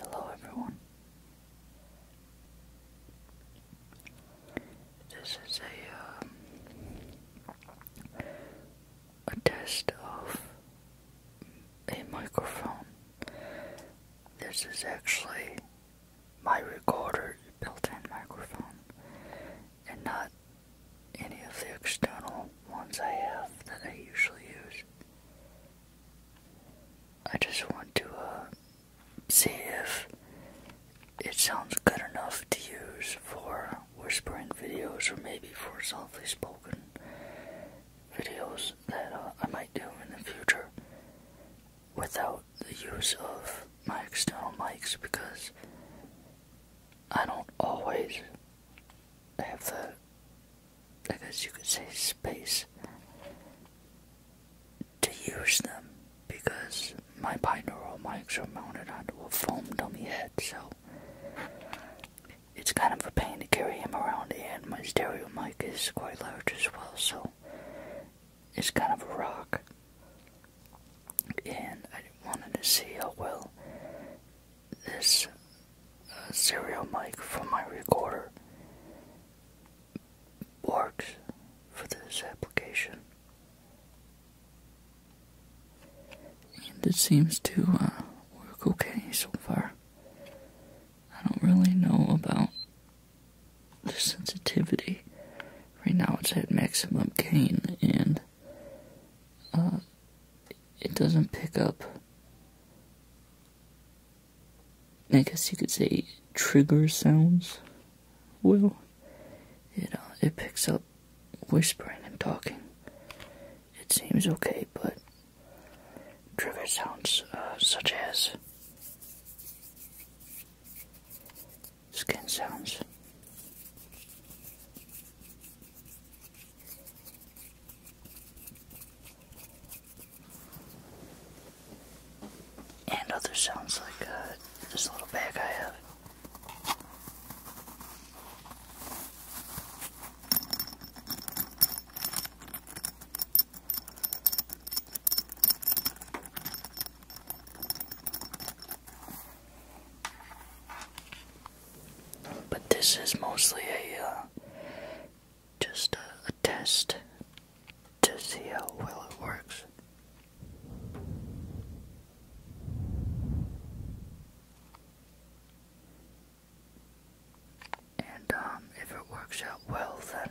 Hello, everyone. This is a um, a test of a microphone. This is actually my recorder built-in microphone, and not any of the external ones I have that I usually use. I just want to uh, see if it sounds good enough to use for whispering videos or maybe for softly spoken videos that uh, I might do in the future without the use of my external mics because I don't always I have the, I guess you could say, space to use them because my binaural mics are mounted onto a foam dummy head, so it's kind of a pain to carry him around, and my stereo mic is quite large as well, so it's kind of a rock. And I wanted to see how well this uh, serial mic from my recorder works for this application. And it seems to uh, work okay so far. I don't really know about the sensitivity. Right now it's at maximum gain and uh, it doesn't pick up. I guess you could say trigger sounds. Well, it it picks up whispering and talking. It seems okay, but trigger sounds uh, such as skin sounds, and other sounds like uh, this little bag I have. But this is mostly a uh, just a, test to see how well it works. And um, if it works out well, then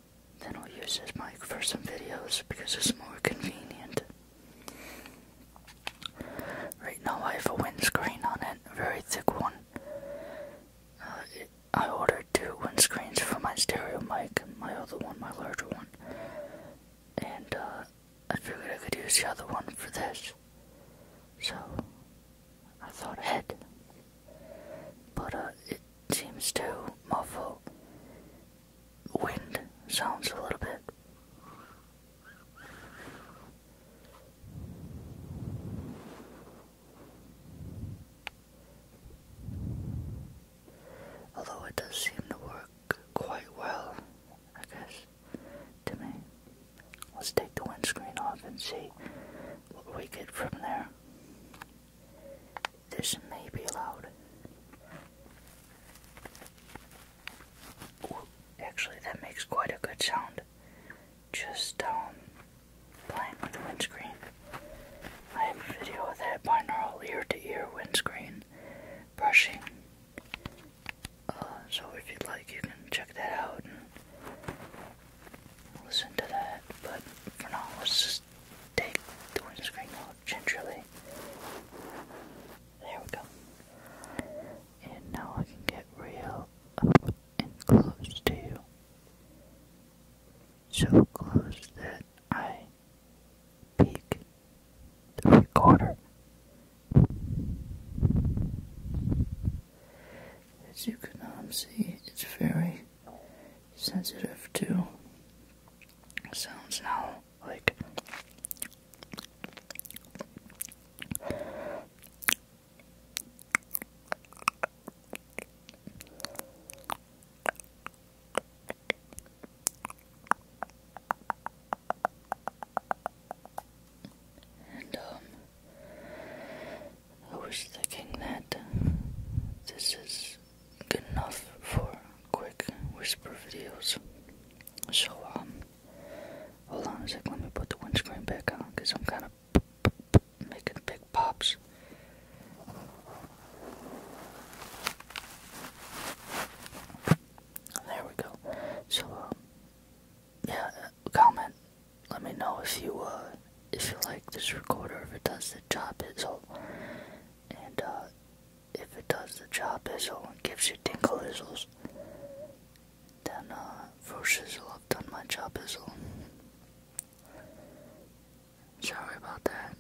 Then I'll use this mic for some videos because it's more convenient. Right now I have a windscreen on it, a very thick one. Uh, I ordered two windscreens for my stereo mic, my other one, my larger one. And uh, I figured I could use the other one for this. So I thought ahead. But uh, it seems to muffle wind sounds a little bit. Although it does seem to work quite well, I guess, to me. Let's take the windscreen off and see what we get from there. This may be loud. actually, that makes quite a good sound. Just um, playing with the windscreen. I have a video of that binaural ear to ear windscreen brushing. Uh, so if you'd like, you can check that out and listen to that. But for now, let's take the windscreen out gingerly. There we go. And now I can get real up and close to you. So close that I peek the recorder. As you can um, see, it's very sensitive to sounds now. Like, and um, I was thinking that this is good enough for quick whisper videos. So, um, hold on a sec, let me put the windscreen back on because I'm kind of making big pops. There we go. So, um, yeah, uh, comment let me know if you uh, if you like this recorder if it does the job as well and uh, if it does the job as well and gives you tinkle izzles then uh for shizzle I've done my job as sorry about that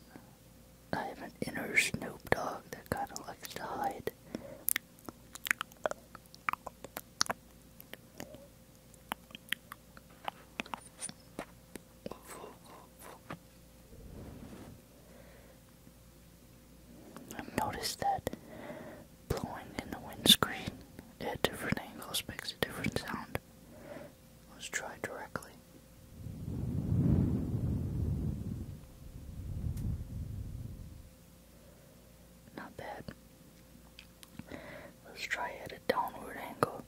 I have an inner Snoop Dogg that kind of likes to hide I've noticed that blowing in the windscreen at different angles makes a different sound. Let's try directly. Not bad. Let's try at a downward angle.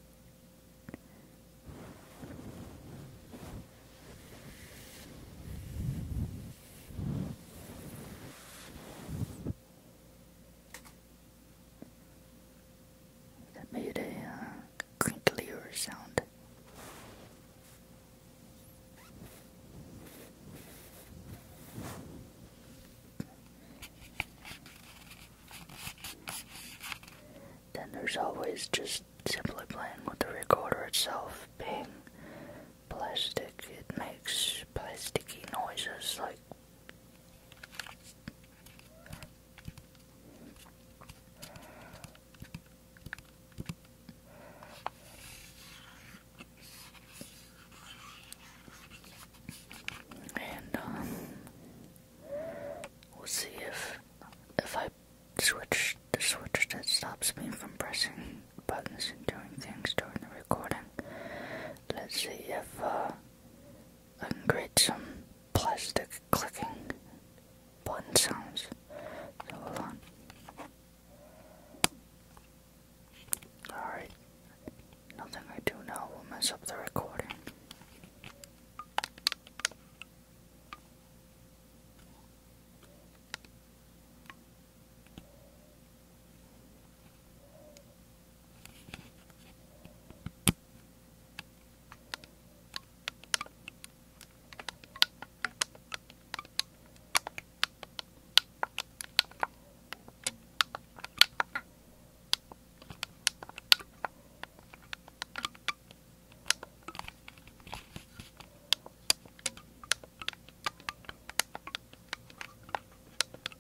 That made a uh, crinklier sound. Then there's always just simply playing with the recorder itself, being plastic, it makes plasticky noises like. And um we'll see if if I switch the switch that stops me from pressing buttons and doing things during the recording. Let's see if uh, I can create some plastic clicking button sounds. hold on. Alright. Nothing I do now will mess up the recording.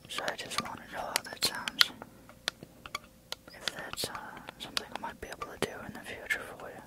So I just want to know how that sounds. If that's uh, something I might be able to do in the future for you.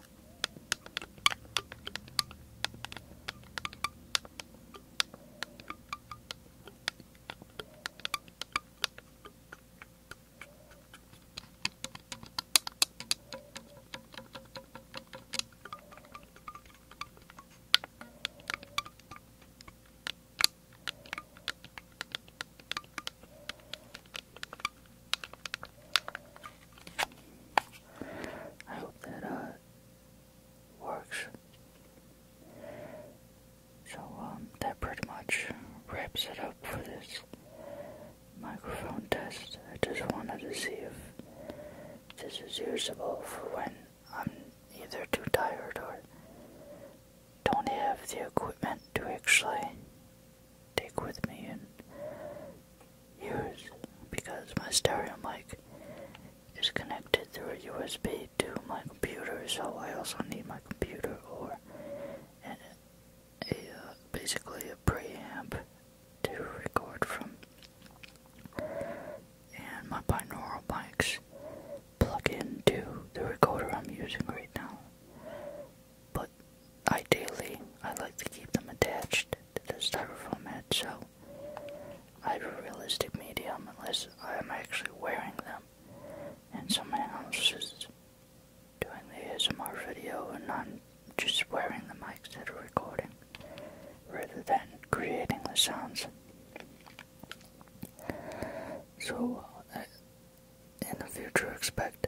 I hope that uh works. So um, that pretty much wraps it up for this microphone test. I just wanted to see if this is usable for when I'm either too tired or don't have the equipment to actually take with me use because my stereo mic is connected through a USB to my computer, so I also need my computer or a, uh, basically a preamp to record from. And my binaural mics plug into the recorder I'm using right now. But ideally, I like to keep them attached to the styrofoam head, so I have a realistic medium unless I'm actually wearing them and someone else is doing the ASMR video and I'm just wearing the mics that are recording rather than creating the sounds. So, uh, in the future, expect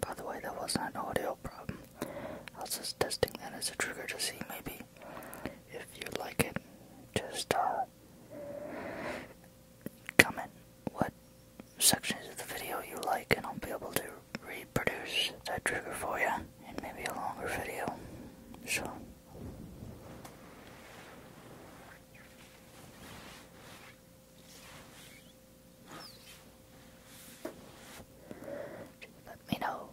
by the way, that was not an audio problem. I was just testing that as a trigger to see maybe if you like it. Just uh, comment what sections of the video you like, and I'll be able to reproduce that trigger for you in maybe a longer video. So let me know.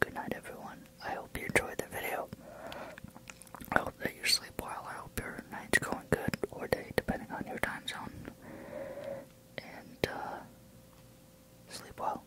Good night, everyone. I hope you enjoyed the video. I hope that you sleep well. I hope your night's going good or day, depending on your time zone. And, uh, sleep well.